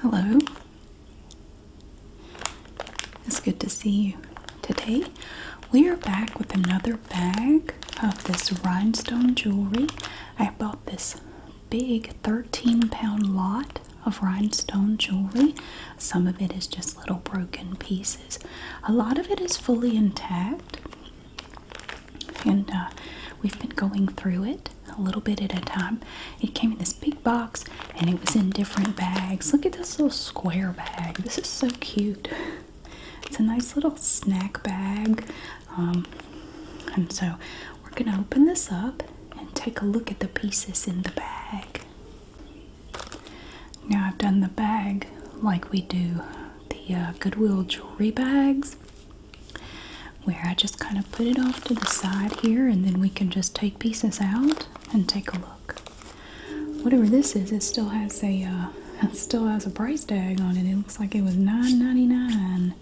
Hello. It's good to see you. Today we are back with another bag of this rhinestone jewelry. I bought this big 13 pound lot of rhinestone jewelry. Some of it is just little broken pieces. A lot of it is fully intact and uh, we've been going through it a little bit at a time. It came in this big box and it was in different bags. Look at this little square bag. This is so cute. It's a nice little snack bag. Um, and so we're going to open this up and take a look at the pieces in the bag. Now I've done the bag like we do the uh, Goodwill jewelry bags where I just kind of put it off to the side here and then we can just take pieces out and take a look. Whatever this is, it still has a uh, still has a price tag on it. It looks like it was $9.99.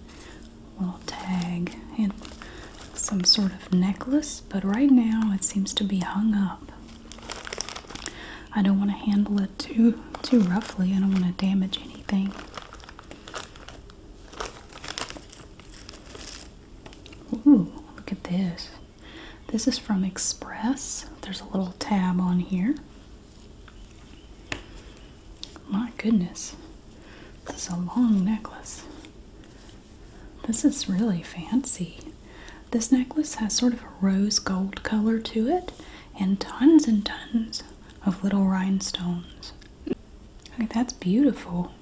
Little tag and some sort of necklace, but right now it seems to be hung up. I don't want to handle it too too roughly. I don't want to damage anything. Ooh, look at this. This is from Express. There's a little tab on here. My goodness. This is a long necklace. This is really fancy. This necklace has sort of a rose gold color to it and tons and tons of little rhinestones. Okay, that's beautiful.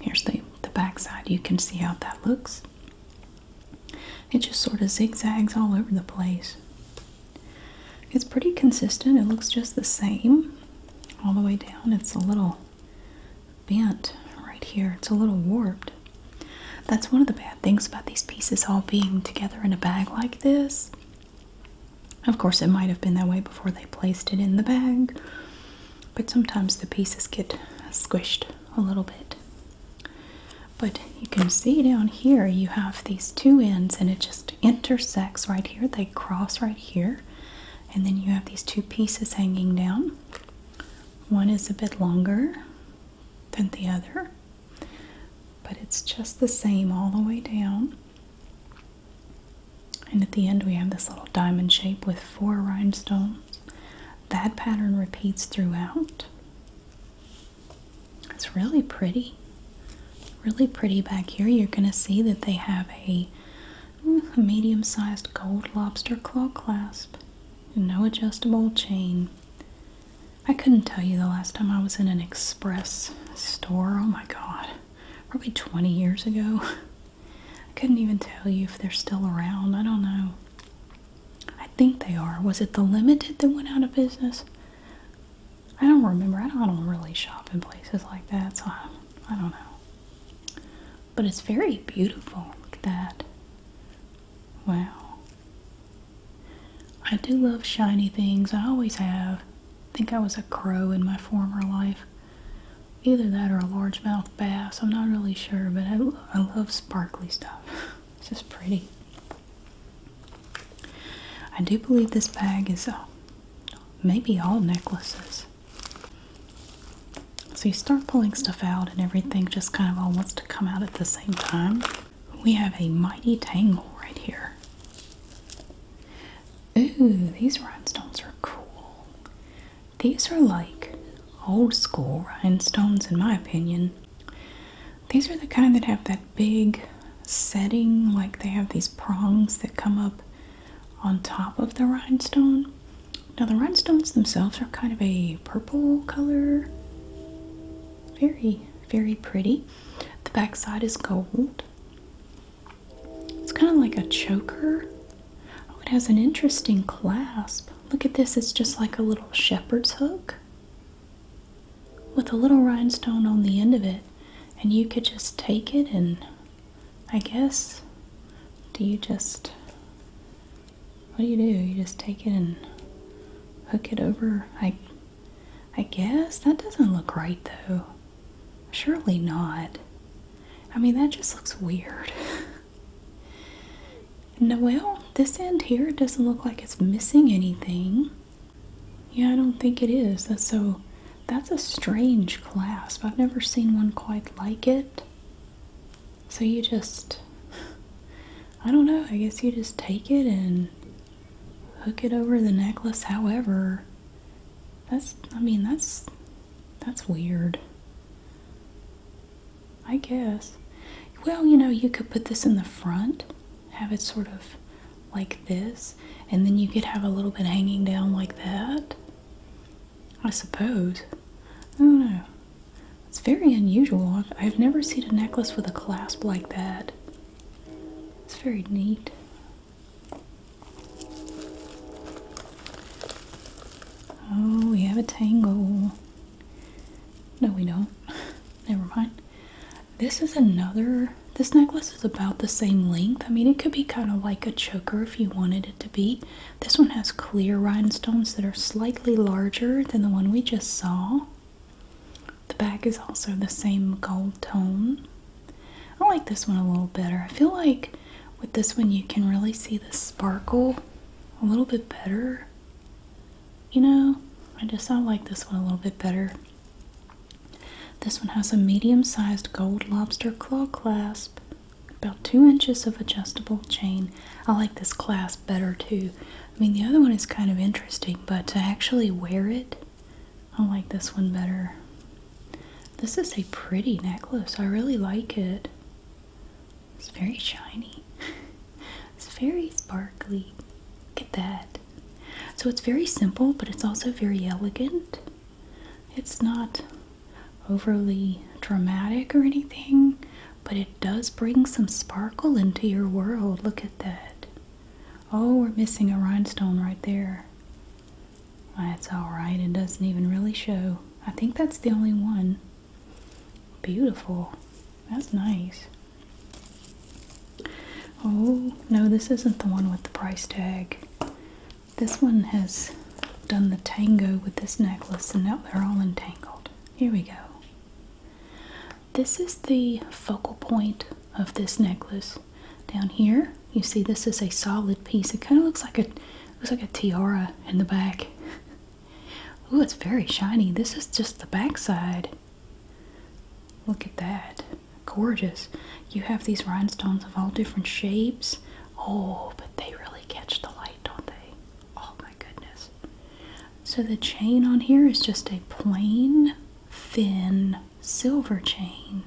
Here's the, the back side. You can see how that looks. It just sort of zigzags all over the place. It's pretty consistent. It looks just the same all the way down. It's a little bent right here. It's a little warped. That's one of the bad things about these pieces all being together in a bag like this of course, it might have been that way before they placed it in the bag, but sometimes the pieces get squished a little bit. But you can see down here you have these two ends, and it just intersects right here. They cross right here, and then you have these two pieces hanging down. One is a bit longer than the other, but it's just the same all the way down. And at the end, we have this little diamond shape with four rhinestones. That pattern repeats throughout. It's really pretty. Really pretty back here. You're going to see that they have a, mm, medium sized gold lobster claw clasp, no adjustable chain, I couldn't tell you the last time I was in an express store. Oh my god. Probably 20 years ago. I couldn't even tell you if they're still around. I don't know. I think they are. Was it the Limited that went out of business? I don't remember. I don't, really shop in places like that, so I, I don't know. But it's very beautiful. Look at that. Wow. I do love shiny things. I always have. think I was a crow in my former life. Either that or a largemouth bass. I'm not really sure, but I, love sparkly stuff. This is pretty. I do believe this bag is uh, maybe all necklaces. So you start pulling stuff out and everything just kind of all wants to come out at the same time we have a mighty tangle right here. Ooh, these rhinestones are cool. These are like old school rhinestones, in my opinion. These are the kind that have that big setting, like they have these prongs that come up on top of the rhinestone. Now, the rhinestones themselves are kind of a purple color. Very very pretty. The back side is gold. It's kind of like a choker. Oh, it has an interesting clasp. Look at this, it's just like a little shepherd's hook with a little rhinestone on the end of it. And you could just take it and I guess do you just what do you do? You just take it and hook it over. I I guess that doesn't look right though. Surely not. I mean, that just looks weird. Noel, this end here doesn't look like it's missing anything. Yeah, I don't think it is. That's so that's a strange clasp. I've never seen one quite like it. So you just I don't know, I guess you just take it and hook it over the necklace however that's i mean that's that's weird i guess well you know you could put this in the front have it sort of like this and then you could have a little bit hanging down like that i suppose i don't know it's very unusual i've, never seen a necklace with a clasp like that it's very neat. Oh, we have a tangle. No, we don't. Never mind. This is another, this necklace is about the same length. I mean, it could be kind of like a choker if you wanted it to be. This one has clear rhinestones that are slightly larger than the one we just saw. The back is also the same gold tone. I like this one a little better. I feel like with this one you can really see the sparkle a little bit better. You know, I just I like this one a little bit better. This one has a medium-sized gold lobster claw clasp, about two inches of adjustable chain. I like this clasp better too. I mean, the other one is kind of interesting, but to actually wear it, I like this one better. This is a pretty necklace. I really like it. It's very shiny. it's very sparkly. Look at that. So it's very simple, but it's also very elegant. It's not overly dramatic or anything, but it does bring some sparkle into your world. Look at that. Oh, we're missing a rhinestone right there. That's alright, it doesn't even really show. I think that's the only one. Beautiful. That's nice. Oh, no, this isn't the one with the price tag. This one has done the tango with this necklace and now they're all entangled. Here we go. This is the focal point of this necklace. Down here, you see this is a solid piece. It kind of looks like a looks like a tiara in the back. oh, it's very shiny. This is just the backside. Look at that. Gorgeous. You have these rhinestones of all different shapes. Oh, but they really catch the light, don't they? Oh my goodness. So the chain on here is just a plain, thin silver chain.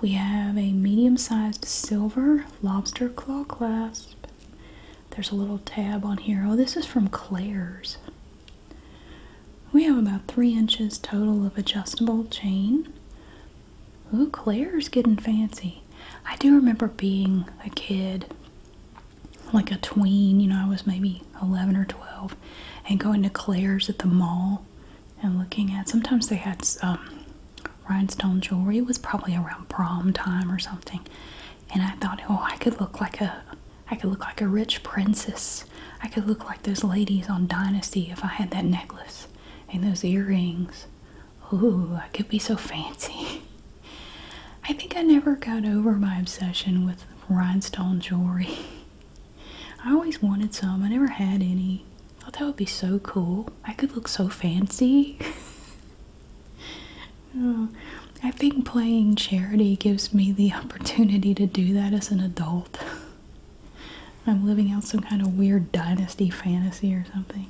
We have a medium sized silver lobster claw clasp. There's a little tab on here. Oh, this is from Claire's. We have about three inches total of adjustable chain. Ooh, Claire's getting fancy. I do remember being a kid, like a tween, you know, I was maybe 11 or 12, and going to Claire's at the mall and looking at. Sometimes they had um, rhinestone jewelry. was probably around prom time or something, and I thought, oh, I could look like a, I could look like a rich princess. I could look like those ladies on Dynasty if I had that necklace and those earrings. Ooh, I could be so fancy. I think I never got over my obsession with rhinestone jewelry. I always wanted some. I never had any. thought that would be so cool. I could look so fancy. Oh, I think playing charity gives me the opportunity to do that as an adult. I'm living out some kind of weird dynasty fantasy or something.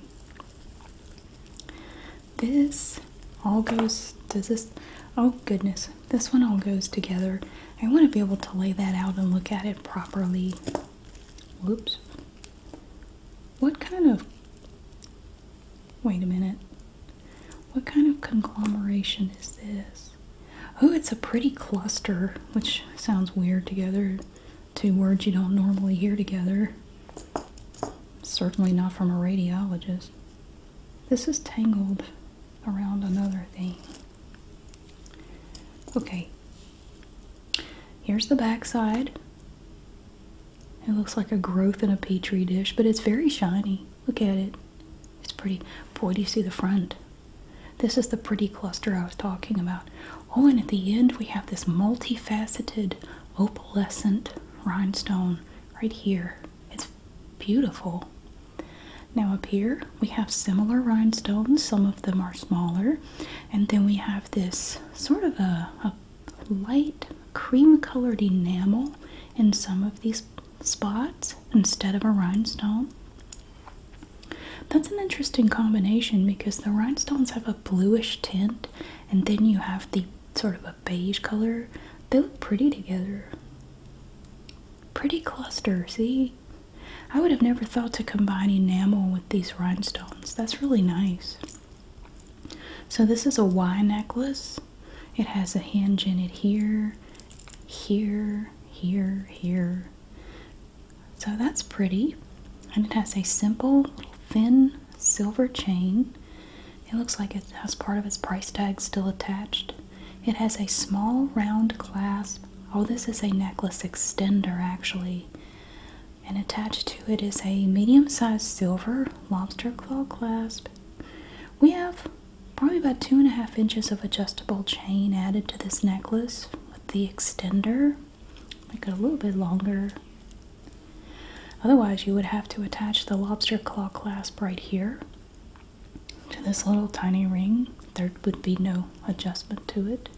This all goes, does this, oh goodness, this one all goes together. I want to be able to lay that out and look at it properly. Whoops. What kind of, wait a minute, what kind of conglomeration is this? Oh, it's a pretty cluster, which sounds weird together. Two words you don't normally hear together. Certainly not from a radiologist. This is tangled around another thing. Okay, here's the back side. It looks like a growth in a petri dish, but it's very shiny. Look at it. It's pretty. Boy, do you see the front. This is the pretty cluster I was talking about. Oh, and at the end we have this multifaceted opalescent rhinestone right here. It's beautiful. Now up here we have similar rhinestones. Some of them are smaller. And then we have this sort of a, light cream colored enamel in some of these spots instead of a rhinestone. That's an interesting combination because the rhinestones have a bluish tint and then you have the sort of a beige color. They look pretty together. Pretty cluster, see? I would have never thought to combine enamel with these rhinestones. That's really nice. So this is a Y necklace. It has a hinge in it here, here, here, here. So that's pretty. And it has a simple, thin silver chain. It looks like it has part of its price tag still attached. It has a small round clasp. Oh, this is a necklace extender actually. And attached to it is a medium sized silver lobster claw clasp. We have probably about two and a half inches of adjustable chain added to this necklace with the extender. Make it a little bit longer. Otherwise, you would have to attach the lobster claw clasp right here to this little tiny ring. There would be no adjustment to it.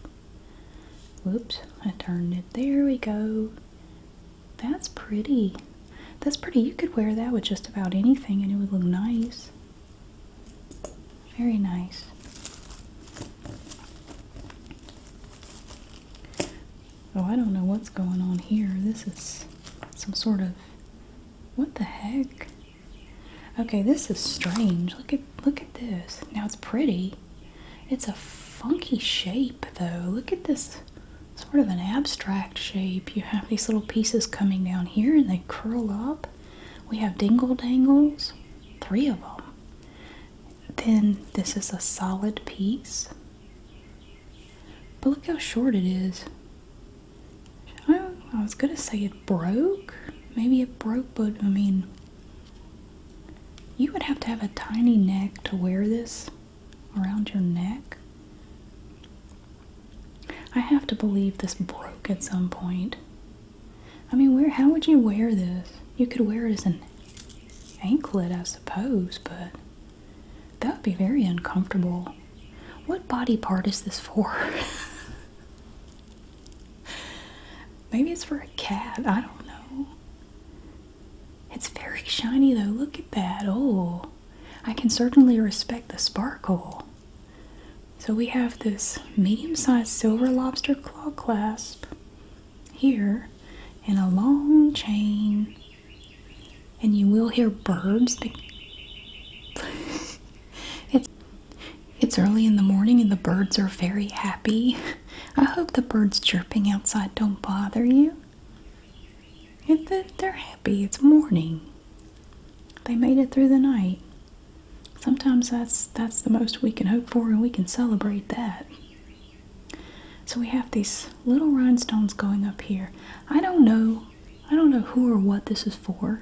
Whoops, I turned it. There we go. That's pretty. That's pretty. You could wear that with just about anything and it would look nice. Very nice. Oh, I don't know what's going on here. This is some sort of. What the heck? Okay, this is strange. Look at look at this. Now it's pretty. It's a funky shape though. Look at this sort of an abstract shape. You have these little pieces coming down here and they curl up. We have dingle dangles, three of them. Then this is a solid piece. But look how short it is. I, was gonna say it broke. Maybe it broke, but I mean, you would have to have a tiny neck to wear this around your neck. I have to believe this broke at some point. I mean, where? How would you wear this? You could wear it as an anklet, I suppose, but that would be very uncomfortable. What body part is this for? Maybe it's for a cat. I don't know. It's very shiny though. Look at that. Oh, I can certainly respect the sparkle. So we have this medium sized silver lobster claw clasp here and a long chain. And you will hear birds. It's, it's early in the morning and the birds are very happy. I hope the birds chirping outside don't bother you. It, they're happy. It's morning. They made it through the night. Sometimes that's that's the most we can hope for, and we can celebrate that. So we have these little rhinestones going up here. I don't know, I don't know who or what this is for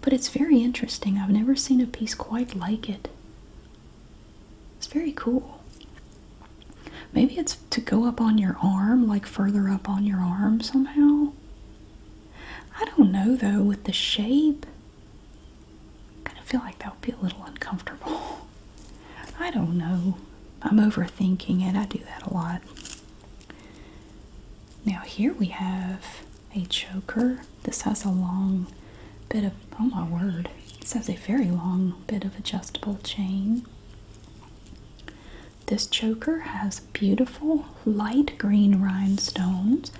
but it's very interesting. I've never seen a piece quite like it. It's very cool. Maybe it's to go up on your arm, like further up on your arm somehow. I don't know though, with the shape. kind of feel like that would be a little uncomfortable. I don't know. I'm overthinking it. I do that a lot. Now here we have a choker. This has a long bit of, oh my word, this has a very long bit of adjustable chain. This choker has beautiful light green rhinestones.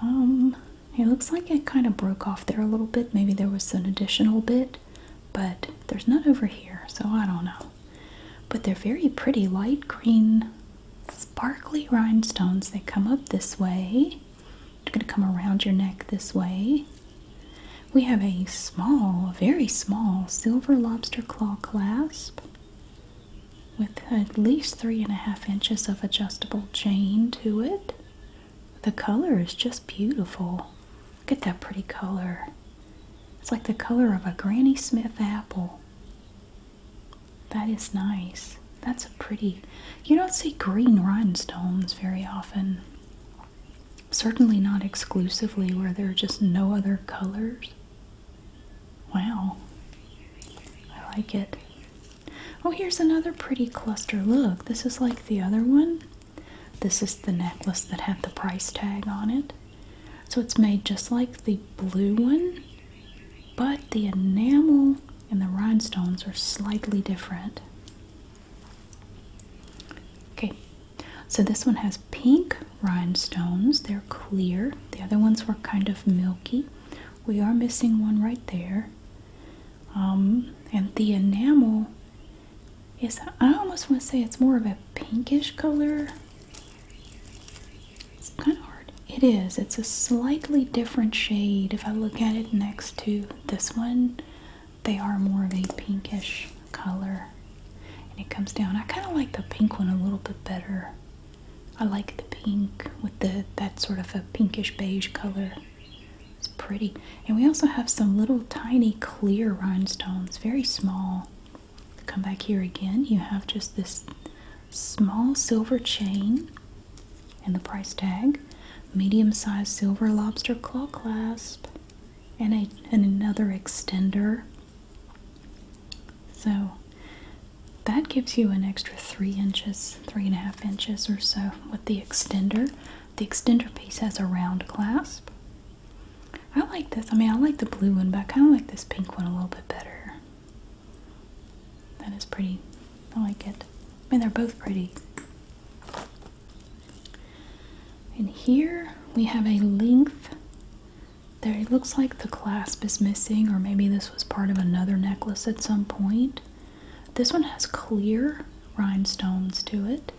Um, it looks like it kind of broke off there a little bit. Maybe there was an additional bit, but there's none over here, so I don't know. But they're very pretty light green sparkly rhinestones. They come up this way. They're going to come around your neck this way. We have a small, very small silver lobster claw clasp with at least three and a half inches of adjustable chain to it. The color is just beautiful. Look at that pretty color. It's like the color of a Granny Smith apple. That is nice. That's a pretty. You don't see green rhinestones very often. Certainly not exclusively where there are just no other colors. Wow. I like it. Oh, here's another pretty cluster. Look, this is like the other one. This is the necklace that had the price tag on it. So it's made just like the blue one, but the enamel and the rhinestones are slightly different. Okay, so this one has pink rhinestones, they're clear. The other ones were kind of milky. We are missing one right there. Um, and the enamel is, I almost want to say it's more of a pinkish color it's kind of hard. It is. It's a slightly different shade. If I look at it next to this one, they are more of a pinkish color. And it comes down. I kind of like the pink one a little bit better. I like the pink with the that sort of a pinkish beige color. It's pretty. And we also have some little tiny clear rhinestones, very small. Come back here again. You have just this small silver chain and the price tag, medium sized silver lobster claw clasp, and, a, and another extender. So that gives you an extra three inches, three and a half inches or so with the extender. The extender piece has a round clasp. I like this. I mean, I like the blue one, but I kind of like this pink one a little bit better. That is pretty. I like it. I mean, they're both pretty. And here we have a length. There it looks like the clasp is missing, or maybe this was part of another necklace at some point. This one has clear rhinestones to it.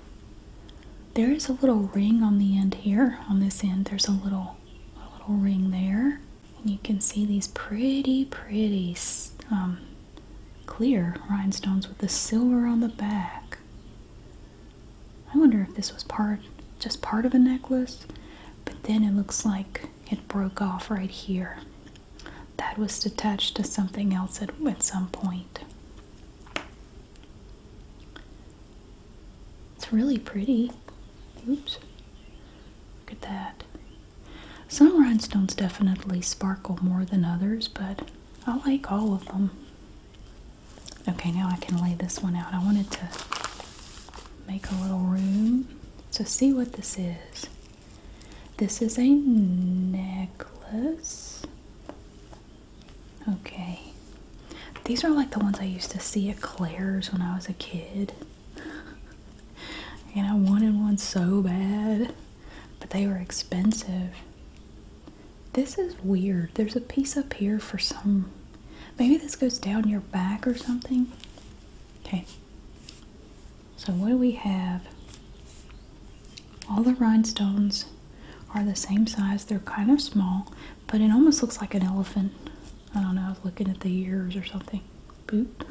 There is a little ring on the end here. On this end, there's a little a little ring there. And you can see these pretty, pretty um, clear rhinestones with the silver on the back. I wonder if this was part, just part of a necklace, but then it looks like it broke off right here. That was detached to something else at some point. It's really pretty. Oops. Look at that. Some rhinestones definitely sparkle more than others, but I like all of them. Okay, now I can lay this one out. I wanted to make a little room. So see what this is. This is a necklace. Okay, these are like the ones I used to see at Claire's when I was a kid. and I wanted one so bad, but they were expensive. This is weird. There's a piece up here for some. Maybe this goes down your back or something. Okay. So, what do we have? All the rhinestones are the same size. They're kind of small, but it almost looks like an elephant. I don't know, I was looking at the ears or something. Boot.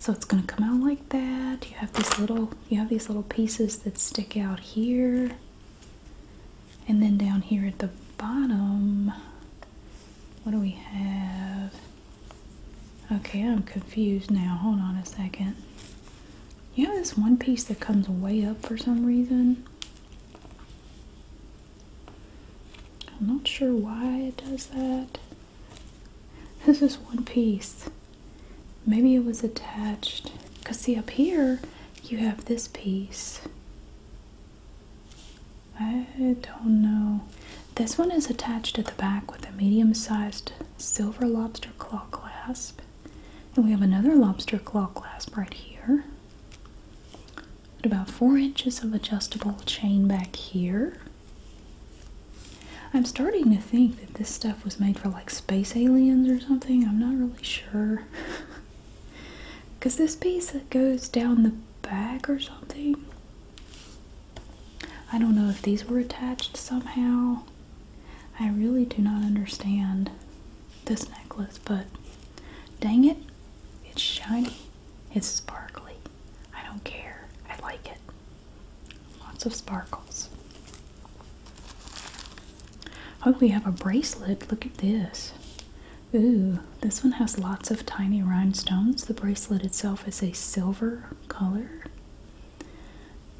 so it's gonna come out like that. You have these little you have these little pieces that stick out here. And then down here at the bottom, what do we have? Okay, I'm confused now. Hold on a second. You have this one piece that comes way up for some reason? I'm not sure why it does that. This is one piece. Maybe it was attached. Because, see, up here you have this piece. I don't know. This one is attached at the back with a medium sized silver lobster claw clasp. And we have another lobster claw clasp right here about four inches of adjustable chain back here. I'm starting to think that this stuff was made for like space aliens or something. I'm not really sure. Because this piece that goes down the back or something. I don't know if these were attached somehow. I really do not understand this necklace, but dang it, it's shiny. It's sparkly. I don't care. I like it. Lots of sparkles. Oh, we have a bracelet. Look at this. Ooh, this one has lots of tiny rhinestones. The bracelet itself is a silver color.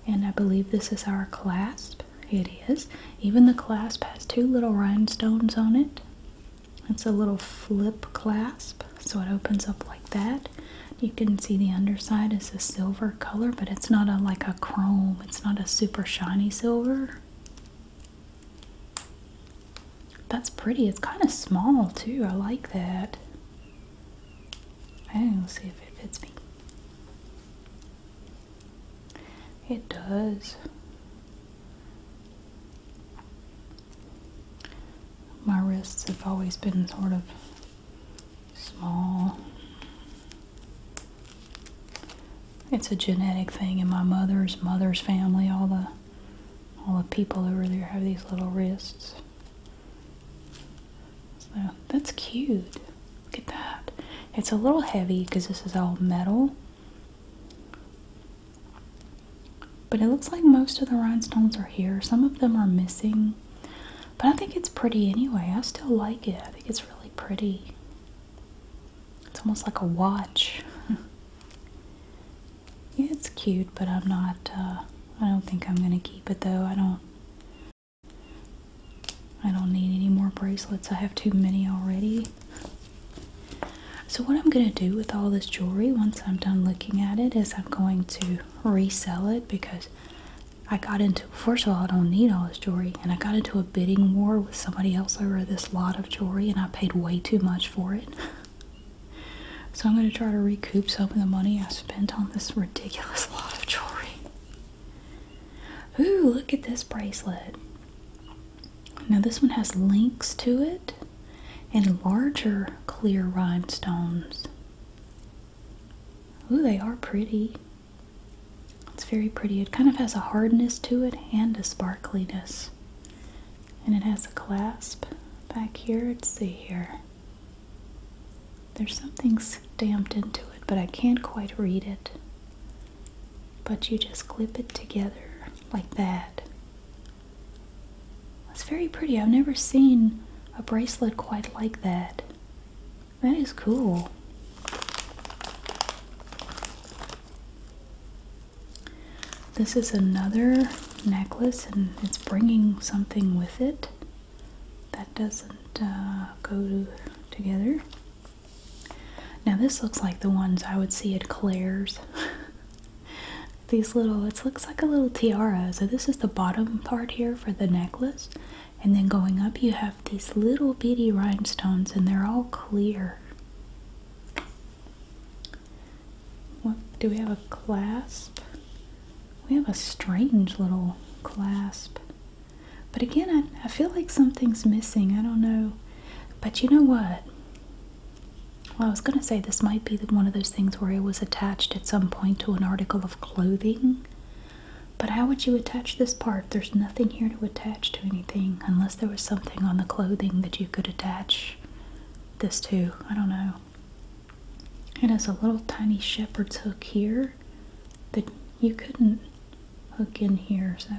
And I believe this is our clasp. It is. Even the clasp has two little rhinestones on it. It's a little flip clasp, so it opens up like that. You can see the underside is a silver color, but it's not a like a chrome. It's not a super shiny silver. That's pretty. It's kind of small too. I like that. I oh, will see if it fits me. It does. My wrists have always been sort of small. It's a genetic thing in my mother's mother's family. All the all the people over there have these little wrists. So that's cute. Look at that. It's a little heavy because this is all metal. But it looks like most of the rhinestones are here. Some of them are missing. But I think it's pretty anyway. I still like it. I think it's really pretty. It's almost like a watch. it's cute, but I'm not, uh, I don't think I'm going to keep it though. I don't, I don't need any more bracelets. I have too many already. So, what I'm going to do with all this jewelry once I'm done looking at it is I'm going to resell it because I got into, first of all, I don't need all this jewelry, and I got into a bidding war with somebody else over this lot of jewelry, and I paid way too much for it. So, I'm going to try to recoup some of the money I spent on this ridiculous lot of jewelry. Ooh, look at this bracelet. Now this one has links to it and larger clear rhinestones. Ooh, they are pretty. It's very pretty. It kind of has a hardness to it and a sparkliness. And it has a clasp back here. Let's see here. There's something stamped into it, but I can't quite read it. But you just clip it together like that. That's very pretty. I've never seen a bracelet quite like that. That is cool. This is another necklace and it's bringing something with it that doesn't uh, go together. Now this looks like the ones I would see at Claire's. These little, it looks like a little tiara. So, this is the bottom part here for the necklace. And then going up, you have these little bitty rhinestones, and they're all clear. do we have a clasp? We have a strange little clasp. But again, I, I feel like something's missing. I don't know. But you know what? Well, I was going to say this might be one of those things where it was attached at some point to an article of clothing. But how would you attach this part? There's nothing here to attach to anything unless there was something on the clothing that you could attach this to. I don't know. It has a little tiny shepherd's hook here that you couldn't hook in here, so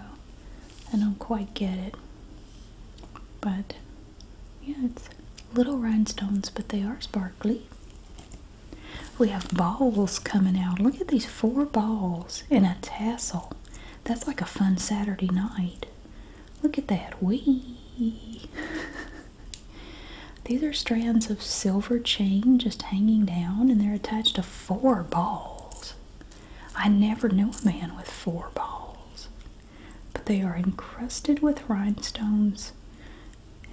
I don't quite get it. But yeah, it's little rhinestones, but they are sparkly. We have balls coming out. Look at these four balls in a tassel. That's like a fun Saturday night. Look at that. Wee! These are strands of silver chain just hanging down, and they're attached to four balls. I never knew a man with four balls, but they are encrusted with rhinestones,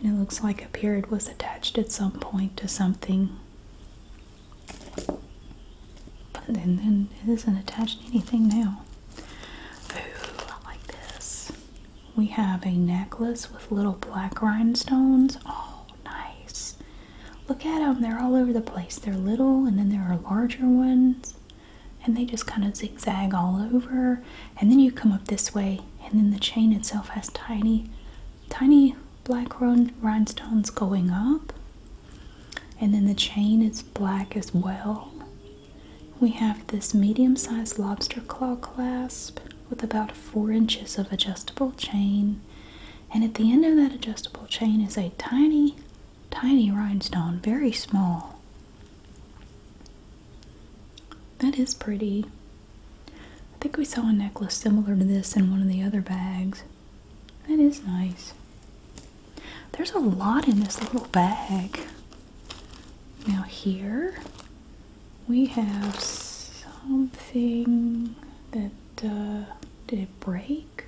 and it looks like a period was attached at some point to something. But then, then it isn't attached to anything now. Ooh, I like this. We have a necklace with little black rhinestones. Oh, nice. Look at them. They're all over the place. They're little and then there are larger ones and they just kind of zigzag all over and then you come up this way and then the chain itself has tiny tiny black rhinestones going up and then the chain is black as well we have this medium-sized lobster claw clasp with about four inches of adjustable chain and at the end of that adjustable chain is a tiny Tiny rhinestone, very small. That is pretty. I think we saw a necklace similar to this in one of the other bags. That is nice. There's a lot in this little bag. Now, here we have something that, uh, did break?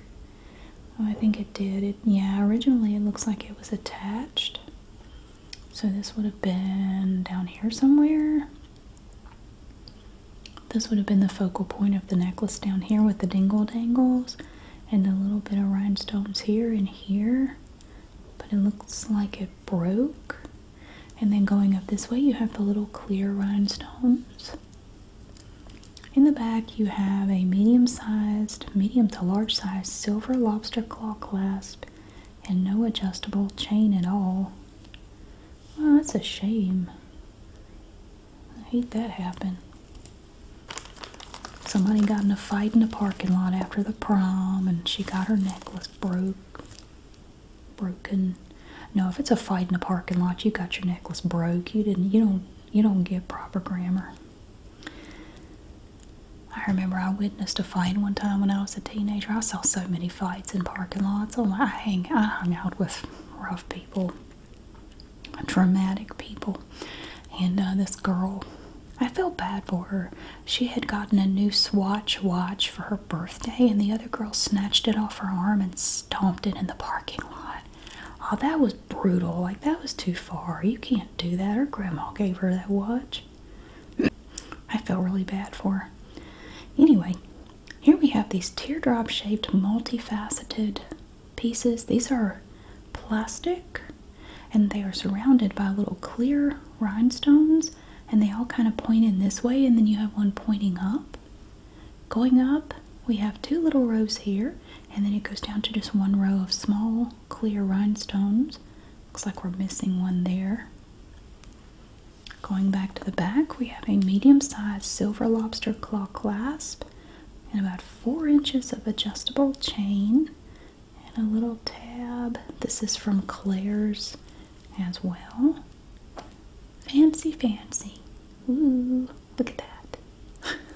Oh, I think it did. yeah, originally it looks like it was attached. So this would have been down here somewhere. This would have been the focal point of the necklace down here with the dingle dangles and a little bit of rhinestones here and here. But it looks like it broke. And then going up this way, you have the little clear rhinestones. In the back, you have a medium sized, medium to large sized silver lobster claw clasp and no adjustable chain at all. Well, that's a shame. I hate that happen. Somebody got in a fight in the parking lot after the prom and she got her necklace broke. Broken. No, if it's a fight in the parking lot, you got your necklace broke. You didn't you don't you don't get proper grammar. I remember I witnessed a fight one time when I was a teenager. I saw so many fights in parking lots. Oh my, I, hang, I hung out with rough people, dramatic people. And uh, this girl, I felt bad for her. She had gotten a new Swatch watch for her birthday, and the other girl snatched it off her arm and stomped it in the parking lot. Oh, that was brutal. Like, that was too far. You can't do that. Her grandma gave her that watch. I felt really bad for her. Anyway, here we have these teardrop shaped, multifaceted pieces. These are plastic and they are surrounded by little clear rhinestones and they all kind of point in this way and then you have one pointing up going up we have two little rows here, and then it goes down to just one row of small clear rhinestones. Looks like we're missing one there. Going back to the back, we have a medium-sized silver lobster claw clasp and about four inches of adjustable chain and a little tab. This is from Claire's as well. Fancy, fancy. Ooh, look at that.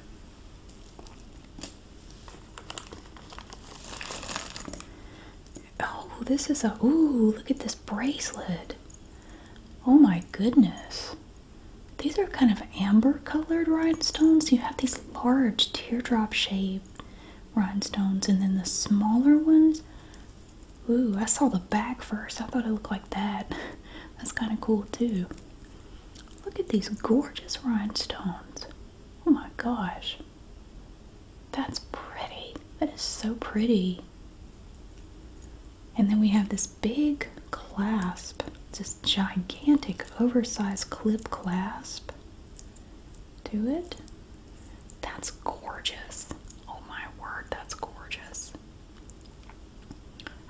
Oh, this is a. Ooh, look at this bracelet. Oh my goodness. These are kind of amber colored rhinestones. You have these large teardrop shaped rhinestones and then the smaller ones. Ooh, I saw the back first. I thought it looked like that. That's kind of cool too. Look at these gorgeous rhinestones. Oh my gosh. That's pretty. That is so pretty. And then we have this big clasp. This gigantic oversized clip clasp Do it. That's gorgeous. Oh my word, that's gorgeous.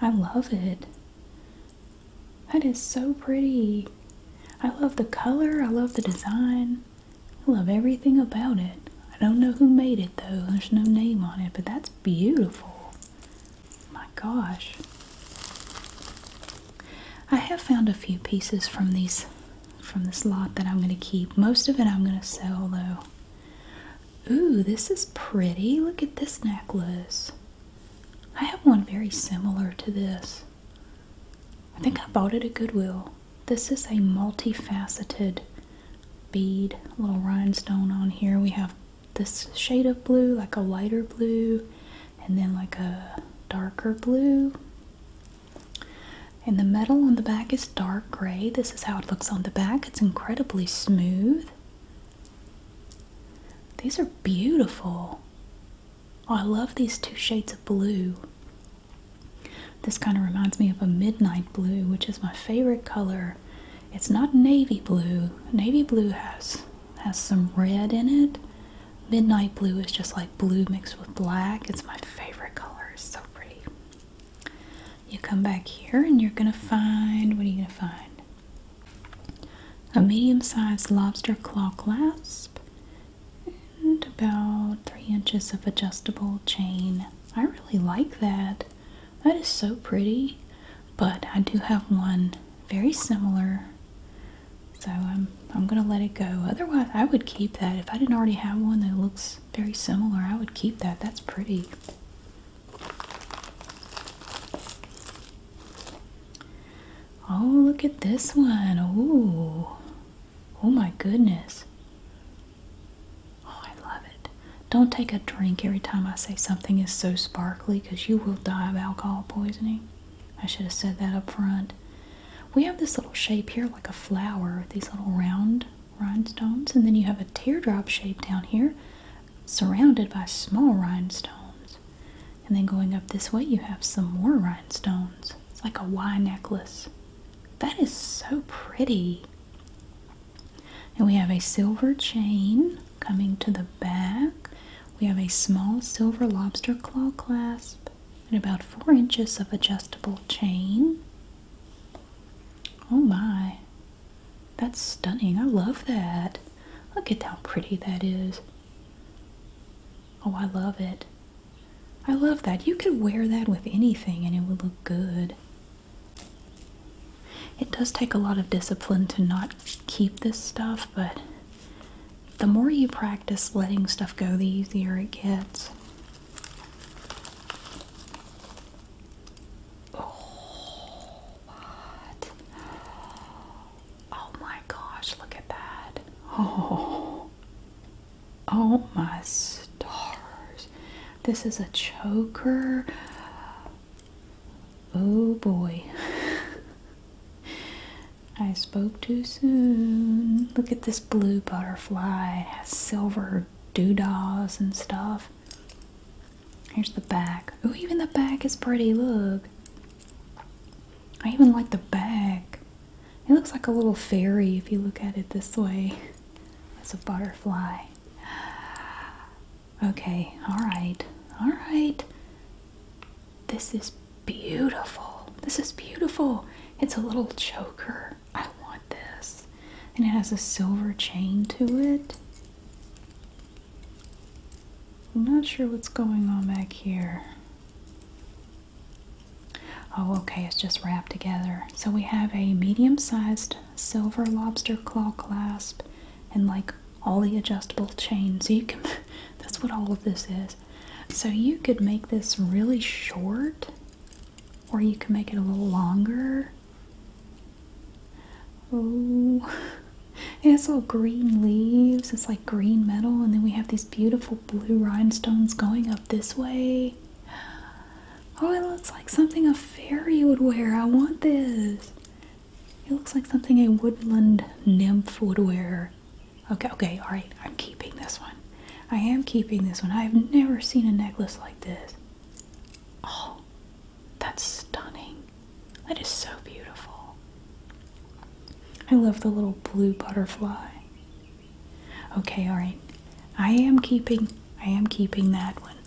I love it. That is so pretty. I love the color, I love the design, I love everything about it. I don't know who made it though, there's no name on it, but that's beautiful. My gosh. I have found a few pieces from these from this lot that I'm going to keep. Most of it I'm going to sell though. Ooh, this is pretty. Look at this necklace. I have one very similar to this. I think I bought it at Goodwill. This is a multifaceted bead, little rhinestone on here. We have this shade of blue, like a lighter blue, and then like a darker blue. And the metal on the back is dark gray. This is how it looks on the back. It's incredibly smooth. These are beautiful. Oh, I love these two shades of blue. This kind of reminds me of a midnight blue, which is my favorite color. It's not navy blue. Navy blue has has some red in it. Midnight blue is just like blue mixed with black. It's my favorite color. It's so pretty. You come back here and you're gonna find what are you gonna find? a medium-sized lobster claw clasp, and about three inches of adjustable chain. I really like that. That is so pretty, but I do have one very similar. So I'm I'm gonna let it go. Otherwise, I would keep that. If I didn't already have one that looks very similar, I would keep that. That's pretty. Oh, look at this one. Ooh. Oh my goodness. Oh, I love it. Don't take a drink every time I say something is so sparkly because you will die of alcohol poisoning. I should have said that up front. We have this little shape here like a flower, these little round rhinestones, and then you have a teardrop shape down here, surrounded by small rhinestones. And then going up this way, you have some more rhinestones. It's like a Y necklace. That is so pretty. And we have a silver chain coming to the back. We have a small silver lobster claw clasp and about four inches of adjustable chain. Oh my. That's stunning. I love that. Look at how pretty that is. Oh, I love it. I love that. You could wear that with anything and it would look good. It does take a lot of discipline to not keep this stuff, but the more you practice letting stuff go, the easier it gets. Oh. What? Oh my gosh, look at that. Oh. Oh my stars. This is a choker. Oh boy. I spoke too soon. Look at this blue butterfly. It has silver doodads and stuff. Here's the back. Oh, even the back is pretty. Look. I even like the back. It looks like a little fairy if you look at it this way. It's a butterfly. Okay, alright, alright. This is beautiful. This is beautiful. It's a little choker. I want this. And it has a silver chain to it. I'm not sure what's going on back here. Oh, okay, it's just wrapped together. So we have a medium sized silver lobster claw clasp and like all the adjustable chains. So you can, that's what all of this is. So you could make this really short or you can make it a little longer. Oh, It's all green leaves. It's like green metal, and then we have these beautiful blue rhinestones going up this way. Oh, it looks like something a fairy would wear. I want this. It looks like something a woodland nymph would wear. Okay, okay, all right. I'm keeping this one. I am keeping this one. I have never seen a necklace like this. Oh, that's stunning. That is so beautiful. I love the little blue butterfly. Okay, all right. I am keeping I am keeping that one.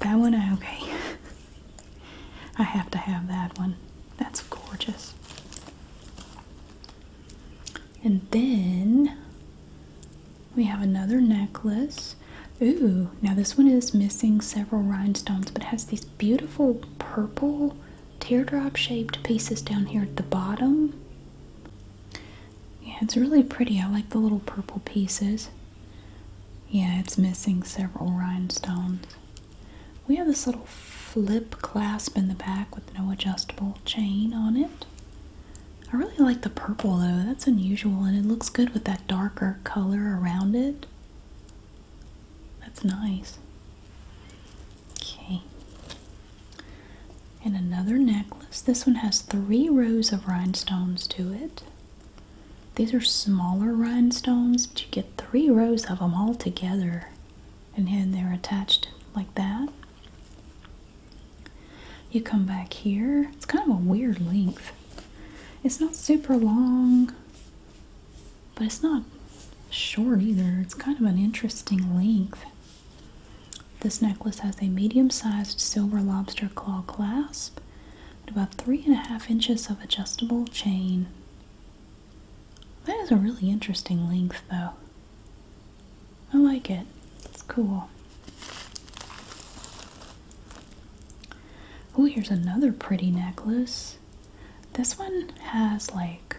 That one okay. I have to have that one. That's gorgeous. And then we have another necklace. Ooh, now this one is missing several rhinestones, but has these beautiful purple teardrop shaped pieces down here at the bottom. Yeah, it's really pretty. I like the little purple pieces. Yeah, it's missing several rhinestones. We have this little flip clasp in the back with no adjustable chain on it. I really like the purple though. That's unusual and it looks good with that darker color around it. That's nice. Okay. And another necklace. This one has three rows of rhinestones to it. These are smaller rhinestones, but you get three rows of them all together. And then they're attached like that. You come back here. It's kind of a weird length. It's not super long. But it's not short either, it's kind of an interesting length. This necklace has a medium sized silver lobster claw clasp and about three and a half inches of adjustable chain. That is a really interesting length, though. I like it, it's cool. Oh, here's another pretty necklace. This one has like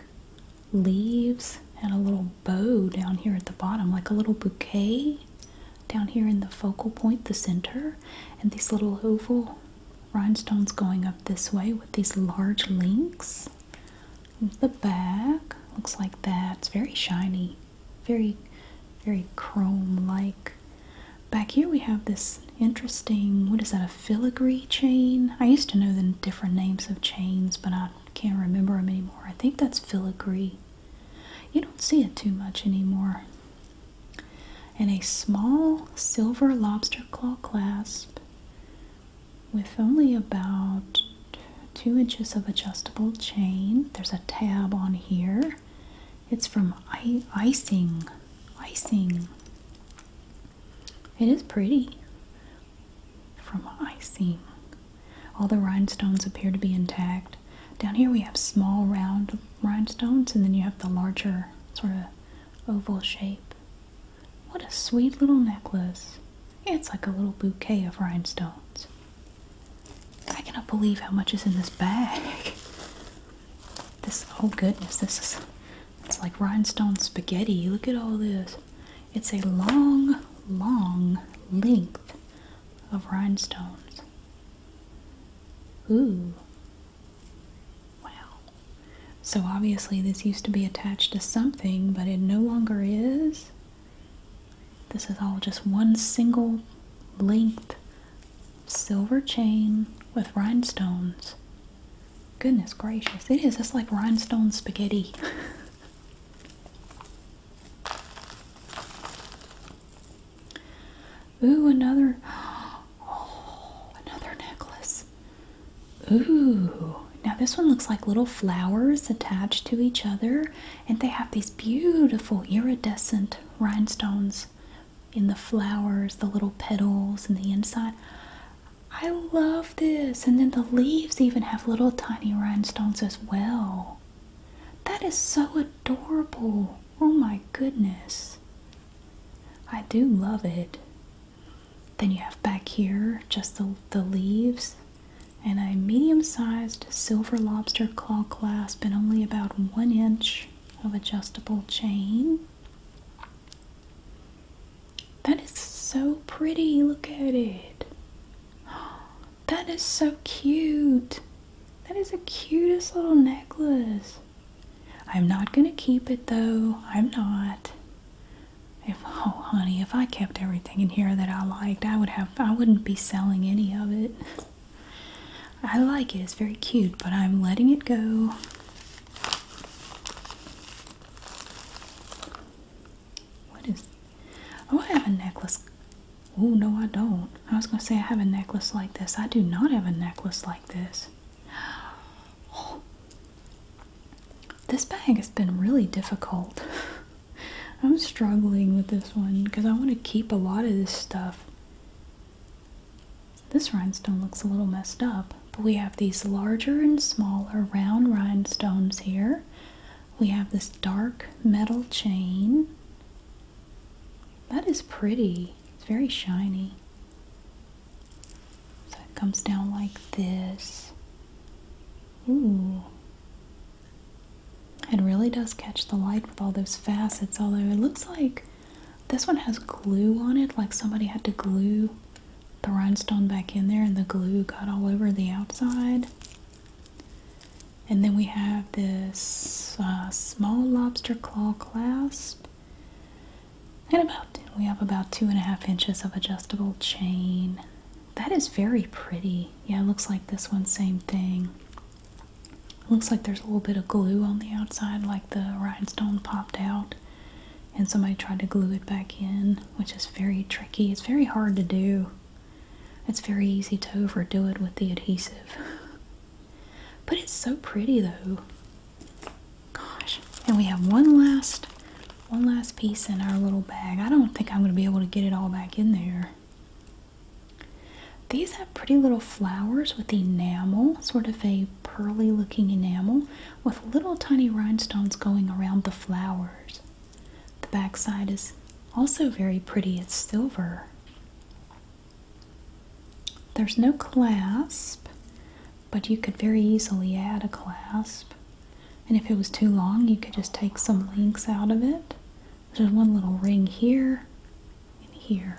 leaves and a little bow down here at the bottom, like a little bouquet down here in the focal point, the center, and these little oval rhinestones going up this way with these large links. the back looks like that. It's very shiny, very, very chrome like. Back here we have this interesting, what is that, a filigree chain? I used to know the different names of chains, but I can't remember them anymore. I think that's filigree. You don't see it too much anymore. And a small silver lobster claw clasp with only about two inches of adjustable chain. There's a tab on here. It's from Icing. Icing. It is pretty from what I see. All the rhinestones appear to be intact. Down here we have small round rhinestones and then you have the larger sort of oval shape. What a sweet little necklace. It's like a little bouquet of rhinestones. I cannot believe how much is in this bag. This, oh goodness, this is it's like rhinestone spaghetti. Look at all this. It's a long, long length of rhinestones. Ooh. Wow. So obviously this used to be attached to something, but it no longer is. This is all just one single length silver chain with rhinestones. Goodness gracious, it is. It's like rhinestone spaghetti. Ooh, another. another necklace. Ooh. Now this one looks like little flowers attached to each other, and they have these beautiful iridescent rhinestones in the flowers, the little petals, and the inside. I love this. And then the leaves even have little tiny rhinestones as well. That is so adorable. Oh my goodness. I do love it. Then you have back here just the, the leaves and a medium-sized silver lobster claw clasp and only about one inch of adjustable chain. That is so pretty. Look at it. That is so cute. That is the cutest little necklace. I'm not going to keep it though. I'm not. If oh honey, if I kept everything in here that I liked, I would have I wouldn't be selling any of it. I like it. It's very cute, but I'm letting it go. What is? Oh, I have a necklace. Oh no, I don't. I was gonna say I have a necklace like this. I do not have a necklace like this. This bag has been really difficult. I'm struggling with this one because I want to keep a lot of this stuff. This rhinestone looks a little messed up, but we have these larger and smaller round rhinestones here. We have this dark metal chain. That is pretty. It's very shiny. So it comes down like this. Ooh. It really does catch the light with all those facets, although it looks like this one has glue on it, like somebody had to glue the rhinestone back in there and the glue got all over the outside. And then we have this uh, small lobster claw clasp. And about we have about two and a half inches of adjustable chain. That is very pretty. Yeah, looks like this one, same thing. looks like there's a little bit of glue on the outside, like the rhinestone popped out and somebody tried to glue it back in, which is very tricky. It's very hard to do. It's very easy to overdo it with the adhesive. But it's so pretty though. Gosh. And we have one last one last piece in our little bag. I don't think I'm going to be able to get it all back in there. These have pretty little flowers with enamel, sort of a pearly looking enamel with little tiny rhinestones going around the flowers. The backside is also very pretty, it's silver. There's no clasp, but you could very easily add a clasp. And if it was too long, you could just take some links out of it. There's one little ring here and here.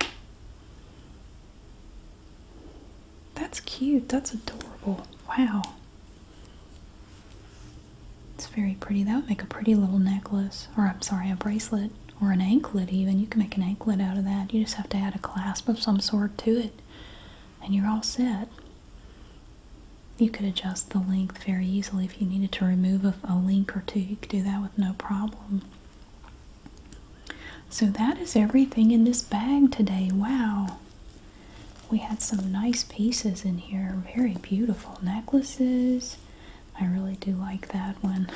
That's cute. That's adorable. Wow. It's very pretty. That would make a pretty little necklace. Or, I'm sorry, a bracelet. Or an anklet, even. You can make an anklet out of that. You just have to add a clasp of some sort to it. And you're all set. You could adjust the length very easily if you needed to remove a, link or two. You could do that with no problem. So that is everything in this bag today. Wow. We had some nice pieces in here. Very beautiful necklaces. I really do like that one.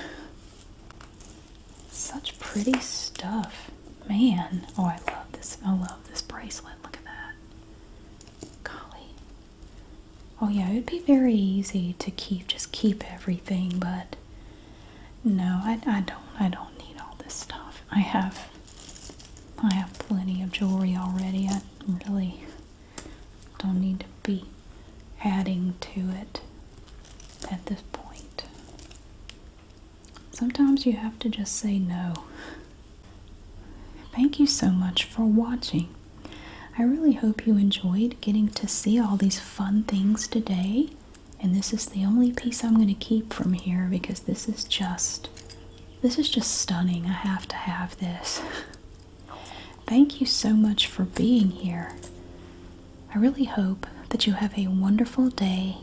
Such pretty stuff. Man. Oh, I love this. I love this bracelet. Look at that. Golly. Oh yeah, it'd be very easy to keep just keep everything, but no, I, don't. I don't need all this stuff. I have, I have plenty of jewelry already. I really don't need to be adding to it at this point. Sometimes you have to just say no. Thank you so much for watching. I really hope you enjoyed getting to see all these fun things today and this is the only piece I'm going to keep from here because this is just this is just stunning. I have to have this. Thank you so much for being here. I really hope that you have a wonderful day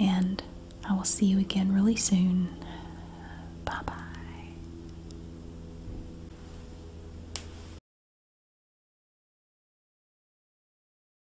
and I will see you again really soon. Bye bye.